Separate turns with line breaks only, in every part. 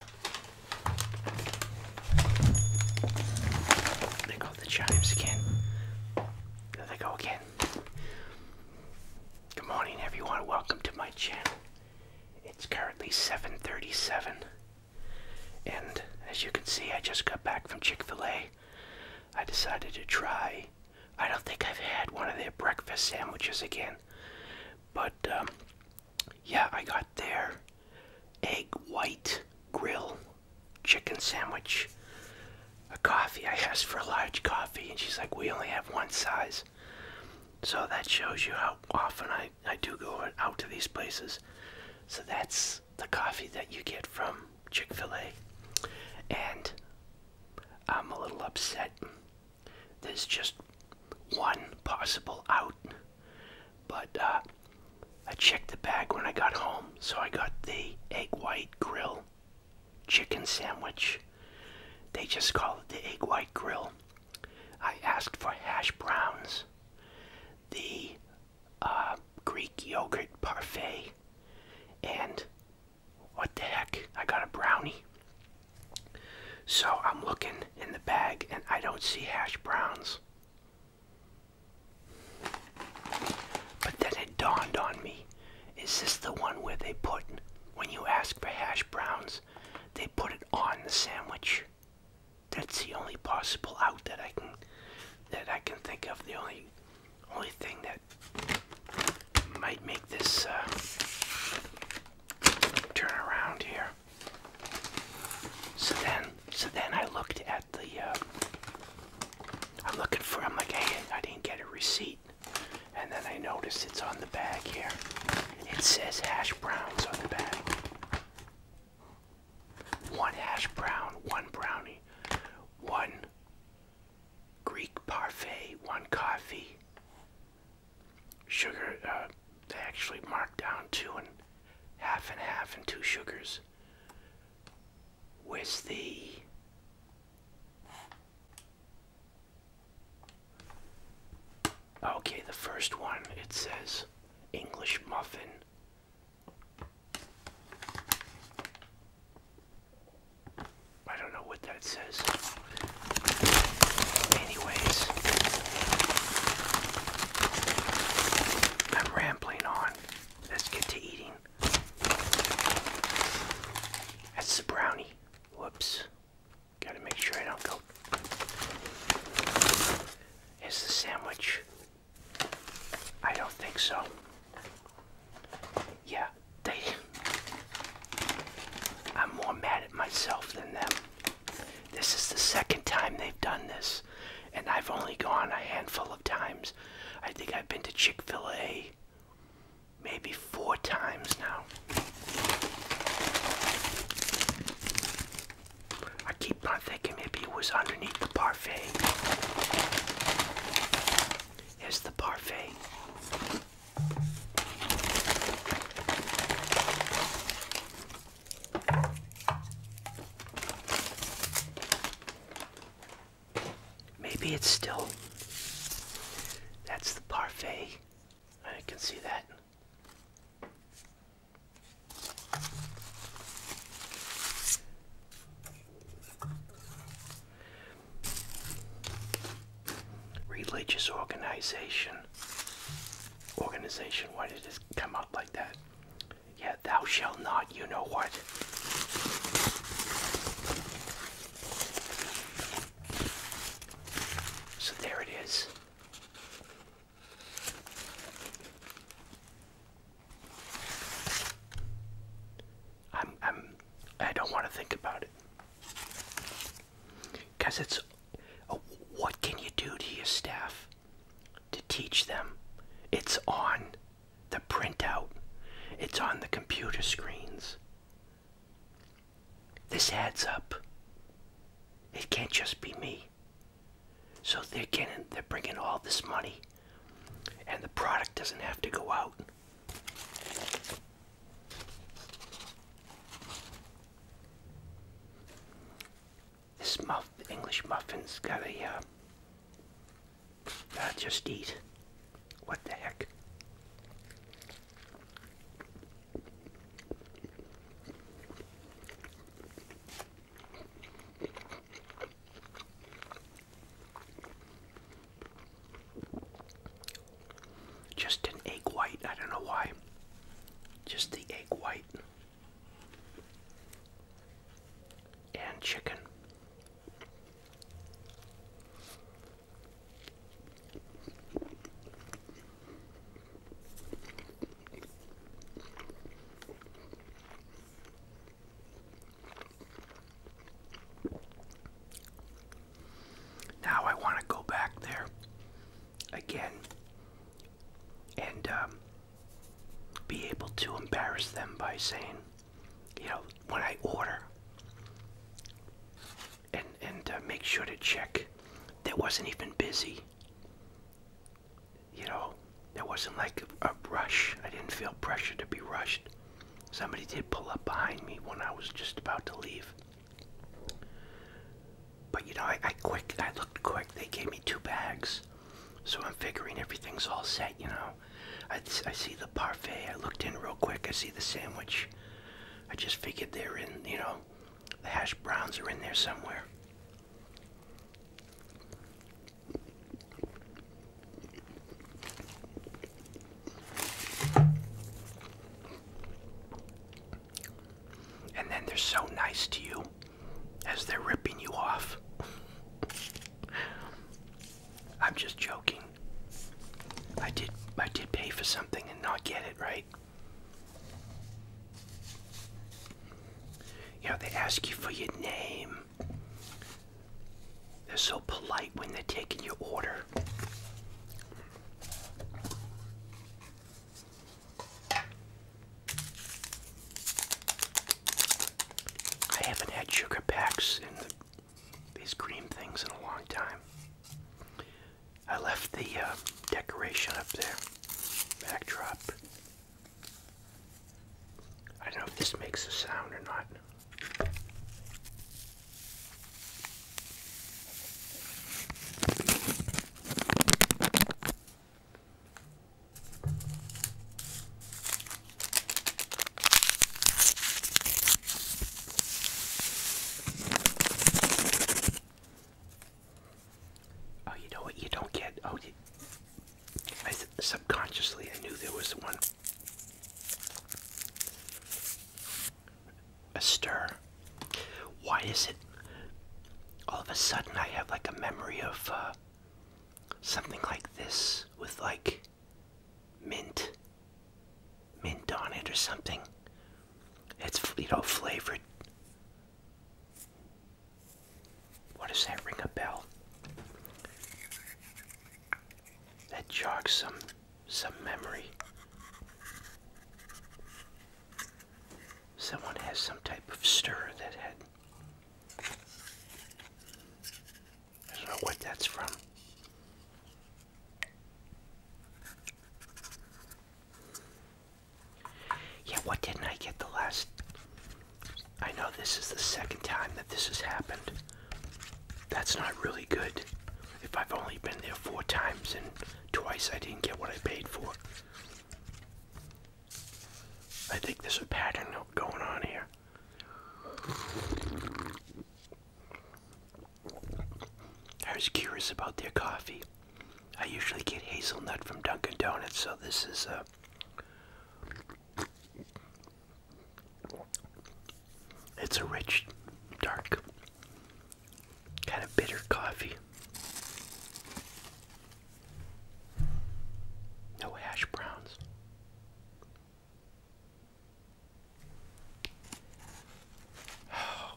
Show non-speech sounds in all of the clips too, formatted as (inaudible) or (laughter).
There go the chimes again. There they go again. Good morning everyone. Welcome to my channel. It's currently 7:37 and as you can see I just got back from Chick-fil-A. I decided to try I don't think I've had one of their breakfast sandwiches again. But um, yeah, I got their egg white grill chicken sandwich. A coffee. I asked for a large coffee, and she's like, "We only have one size." So that shows you how often I I do go out to these places. So that's the coffee that you get from Chick-fil-A, and I'm a little upset. There's just one possible out but uh, I checked the bag when I got home, so I got the egg white grill chicken sandwich. They just call it the egg white grill. I asked for hash browns, the uh, Greek yogurt parfait, and what the heck? I got a brownie. So I'm looking in the bag and I don't see hash browns. But then it dawned on me is this the one where they put, when you ask for hash browns, they put it on the sandwich? That's the only possible out that I can that I can think of. The only only thing that might make this uh, turn around here. So then, so then I looked at the. Uh, I'm looking for. I'm like, hey, I didn't get a receipt, and then I noticed it's on the bag here. It says hash browns on the bag. One hash brown, one brownie, one Greek parfait, one coffee, sugar uh, they actually mark down two and half and half and two sugars with the okay the first one it says english muffin I don't know what that says. Anyways, I'm rambling on. Let's get to eating. That's the brownie. Whoops. Gotta make sure I don't go. Is the sandwich? I don't think so. Yeah, they. I'm more mad at myself than them. This is the second time they've done this, and I've only gone a handful of times. I think I've been to Chick fil A maybe four times now. I keep on thinking maybe it was underneath the parfait. Here's the parfait. Maybe it's still. That's the parfait. I can see that. Religious organization organization. Why did this come out like that? Yeah, thou shalt not, you know what. So there it is. I'm I'm I don't want to think about it. Because it's oh, what can you do to your staff to teach them? It's on the printout, it's on the computer screens. This adds up. It can't just be me. So they're getting, they're bringing all this money, and the product doesn't have to go out. This muff, English muffin's got a, uh, uh, just eat. What the heck? Just an egg white, I don't know why. Just the egg white and chicken. Now I want to go back there again and um, be able to embarrass them by saying, you know, when I order, and and uh, make sure to check that wasn't even busy. You know, there wasn't like a rush. I didn't feel pressure to be rushed. Somebody did pull up behind me when I was just about to leave. But you know, I, quick I looked quick. They gave me two bags, so I'm figuring everything's all set. You know, I, I see the parfait. I looked in real quick. I see the sandwich. I just figured they're in. You know, the hash browns are in there somewhere. And then they're so nice to you as they're ripping you off. I'm just joking. I did I did pay for something and not get it, right? You know, they ask you for your name. They're so polite when they're taking your order. I haven't had sugar packs in these cream things in a long time. I left the uh, decoration up there, backdrop. I don't know if this makes a sound or not. Oh, you know what? You don't get. Oh, subconsciously I knew there was one. A stir. Why is it all of a sudden I have like a memory of uh, something like this with like mint, mint on it or something? It's, you know, flavored. What does that ring a bell? That jogs some some memory someone has some type of stir that had. I don't know what that's from. Yeah, what didn't I get the last? I know this is the second time that this has happened. That's not really good. If I've only been there four times and twice I didn't get what I paid for. I think there's a pattern going on here. I was curious about their coffee. I usually get hazelnut from Dunkin' Donuts, so this is a. Uh, it's a rich, dark kind of bitter coffee. No hash browns. (sighs)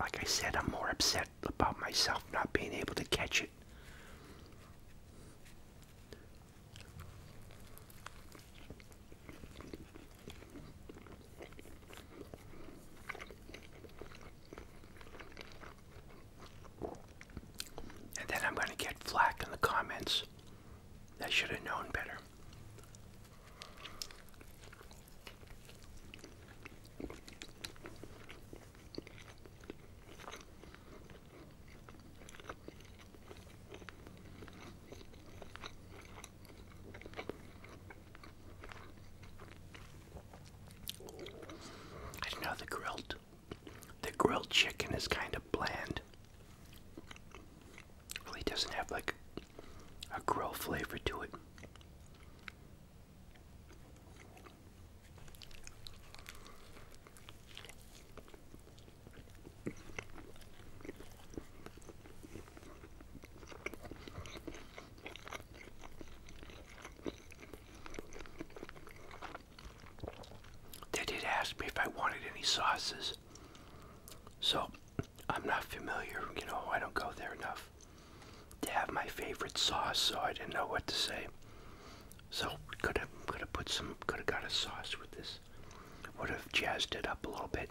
Like I said, I'm more upset about myself not being able to catch it. And then I'm going to get flack in the comments. I should have known better. I don't know the grilled the grilled chicken is kind of bland. Really doesn't have like a grill flavor to it. They did ask me if I wanted any sauces. So, I'm not familiar, you know, I don't go there enough to have my favorite sauce, so I didn't know what to say. So, could have could have put some could have got a sauce with this. Would have jazzed it up a little bit.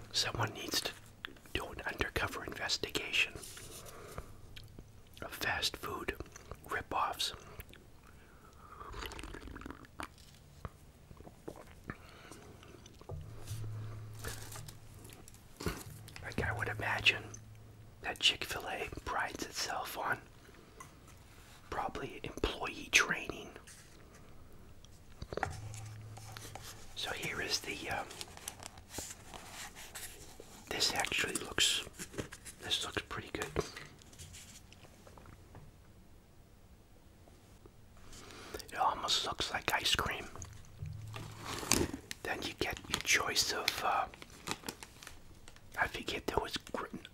Someone needs to do an undercover investigation of fast food ripoffs. Like, I would imagine that Chick fil A prides itself on probably employee training so here is the. Um, this actually looks. This looks pretty good. It almost looks like ice cream. Then you get your choice of. Uh, I forget there was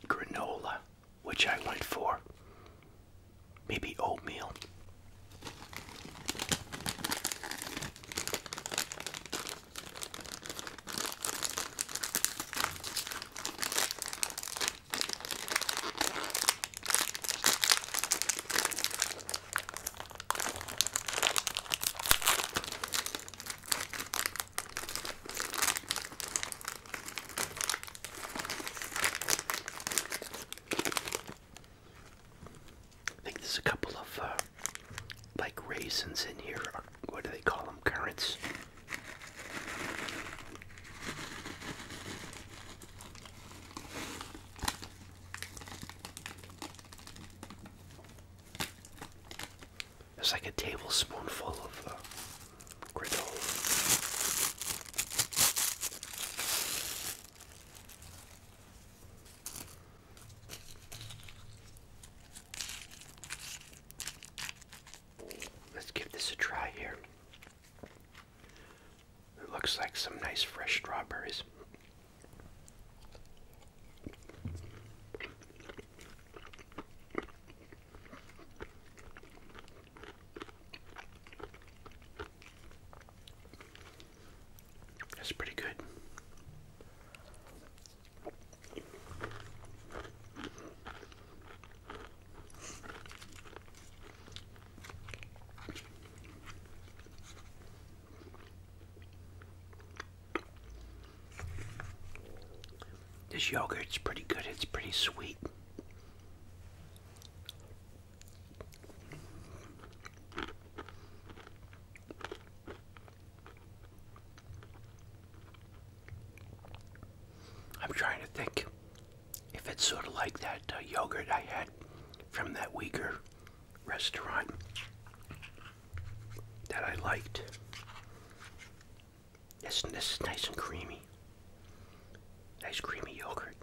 granola, which I went for maybe oatmeal. I think there's a couple of uh, like raisins in here. Or what do they call them? Currants. There's like a tablespoonful of uh, granola. Let's give this a try here. It looks like some nice fresh strawberries. That's pretty good. This yogurt's pretty good. It's pretty sweet. I'm trying to think if it's sort of like that uh, yogurt I had from that Uyghur restaurant that I liked. this is nice and creamy. Nice creamy yogurt.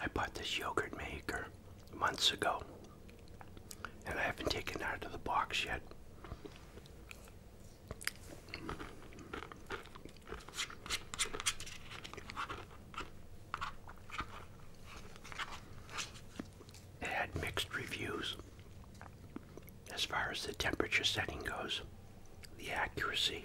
I bought this yogurt maker months ago, and I haven't taken it out of the box yet. It had mixed reviews as far as the temperature setting goes, the accuracy.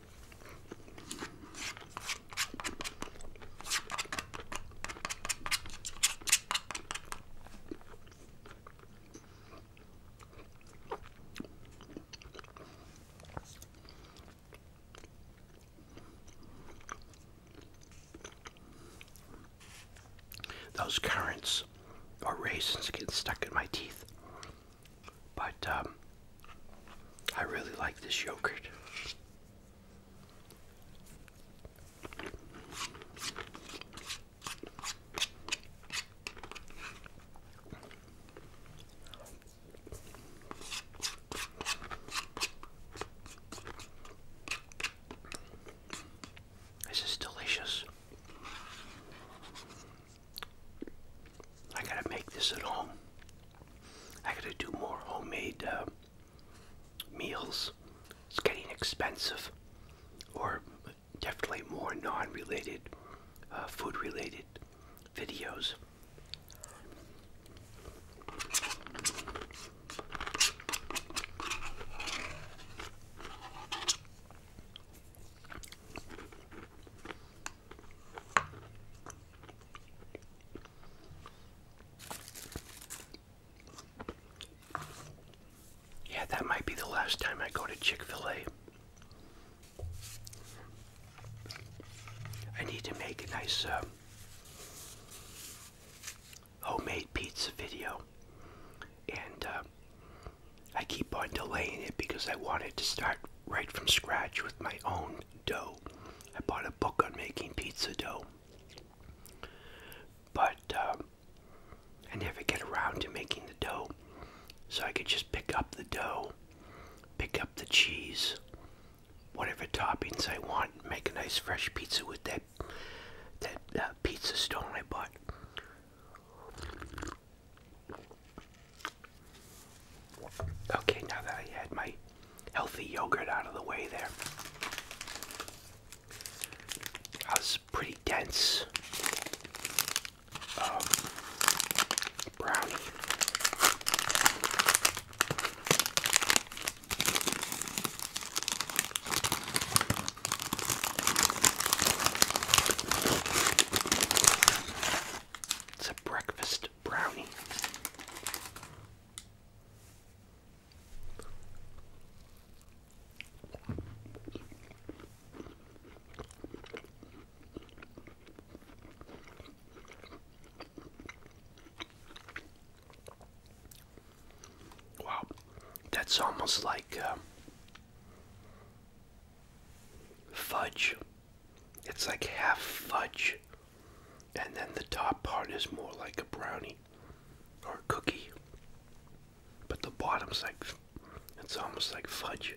Those currants or raisins getting stuck in my teeth. But um, I really like this yogurt. This is delicious. I gotta make this at home. I gotta do more homemade uh, meals. It's getting expensive, or definitely more non related, uh, food related videos. Yeah, that might be the last time I go to Chick fil A. I need to make a nice uh, homemade pizza video. And uh, I keep on delaying it because I want it to start right from scratch with my own dough. I bought a book on making pizza dough, but um, I never get around to making the dough. So I could just pick up the dough, pick up the cheese, whatever toppings I want, make a nice fresh pizza with that that uh, pizza stone I bought. Okay, now that I had my healthy yogurt out of the way there, that was pretty dense um, brownie. It's a breakfast Brownie. Wow, that's almost like uh, fudge it's like half fudge, and then the top part is more like a brownie or a cookie, but the bottom's like it's almost like fudge.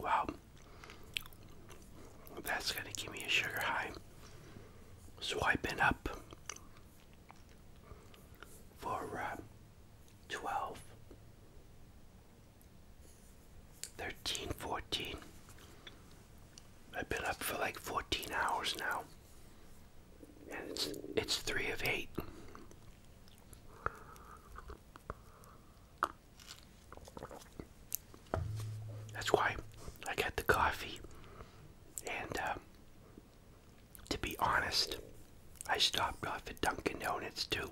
Wow, that's going to give me a sugar high. Swipe it up for uh, 12, I've been up for like 14 hours now. And it's, it's 3 of 8. That's why I got the coffee and uh, to be honest, I stopped off at Dunkin' Donuts too.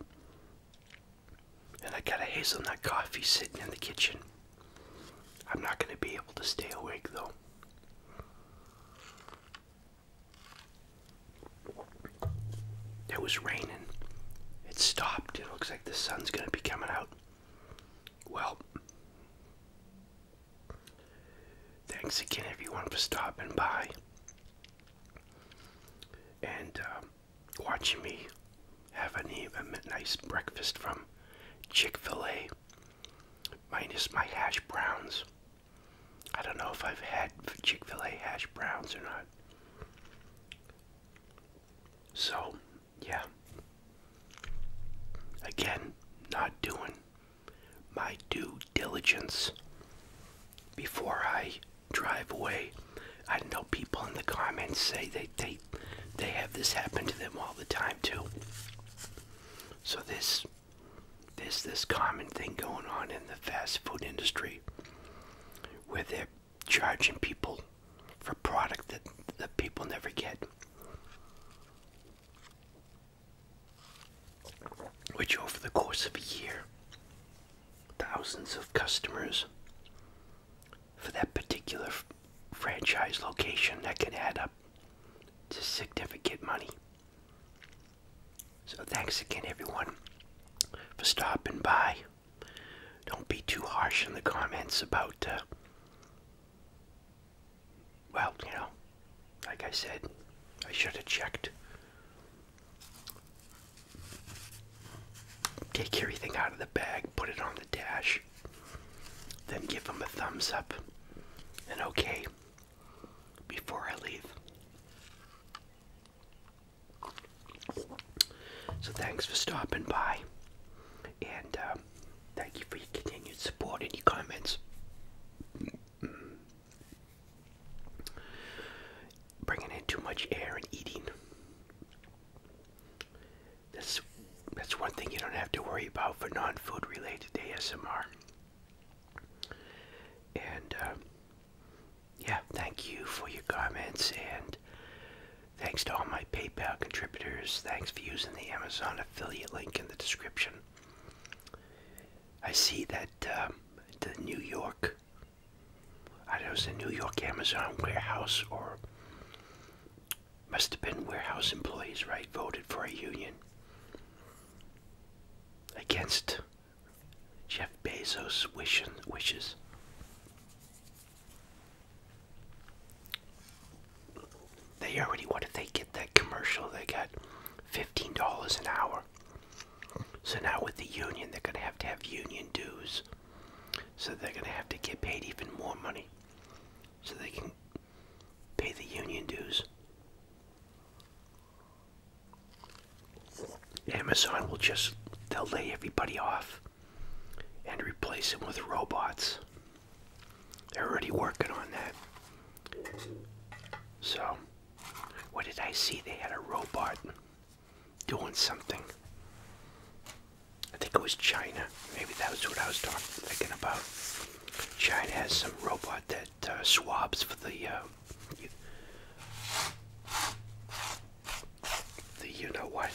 And I got a hazelnut coffee sitting in the kitchen. I'm not going to be able to stay awake though. It was raining. It stopped. It looks like the sun's going to be coming out. Well, Thanks again, everyone, for stopping by and um, watching me have an even nice breakfast from Chick fil A, minus my hash browns. I don't know if I've had Chick fil A hash browns or not. So, yeah. Again, not doing my due diligence before I drive away. I know people in the comments say they they they have this happen to them all the time too. So this this this common thing going on in the fast food industry where they're charging people for product that the people never get which over the course of a year, thousands of customers for that particular franchise location that can add up to significant money. So, thanks again, everyone, for stopping by. Don't be too harsh in the comments about uh, well, you know, like I said, I should have checked. Take everything out of the bag, put it on the dash, then give them a thumbs up and okay before I leave. So thanks for stopping by, and uh, thank you for your continued support and your comments bringing in too much air and eating. That's that's one thing you don't have to worry about for non-food related ASMR. And uh, yeah, thank you for your comments and thanks to all my PayPal contributors. Thanks for using the Amazon affiliate link in the description. I see that um, the New York, I don't know, it's the New York Amazon warehouse or must have been warehouse employees, right? Voted for a union against Jeff Bezos' wishes. They already, what if they get that commercial? They got $15 an hour. So now with the union, they're going to have to have union dues. So they're going to have to get paid even more money so they can pay the union dues. Amazon will just, they'll lay everybody off and replace them with robots. They're already working on that. So, what did I see? They had a robot doing something. I think it was China. Maybe that was what I was talking, thinking about. China has some robot that uh, swabs for the, uh, the you know what?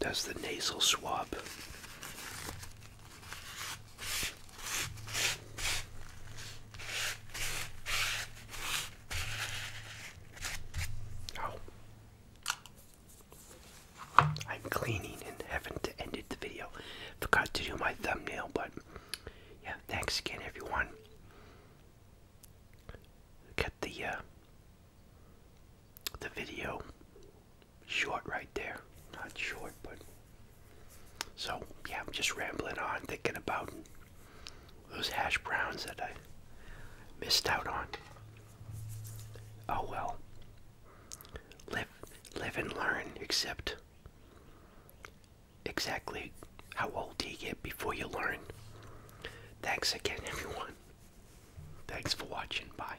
Does the nasal swab? I'm cleaning and haven't ended the video. Forgot to do my thumbnail, but yeah, thanks again, everyone. Get the uh, the video short right there. Not short, but so yeah, I'm just rambling on, thinking about those hash browns that I missed out on. Oh well. Live, live and learn. Except exactly how old do you get before you learn? Thanks again, (laughs) everyone. Thanks for watching. Bye.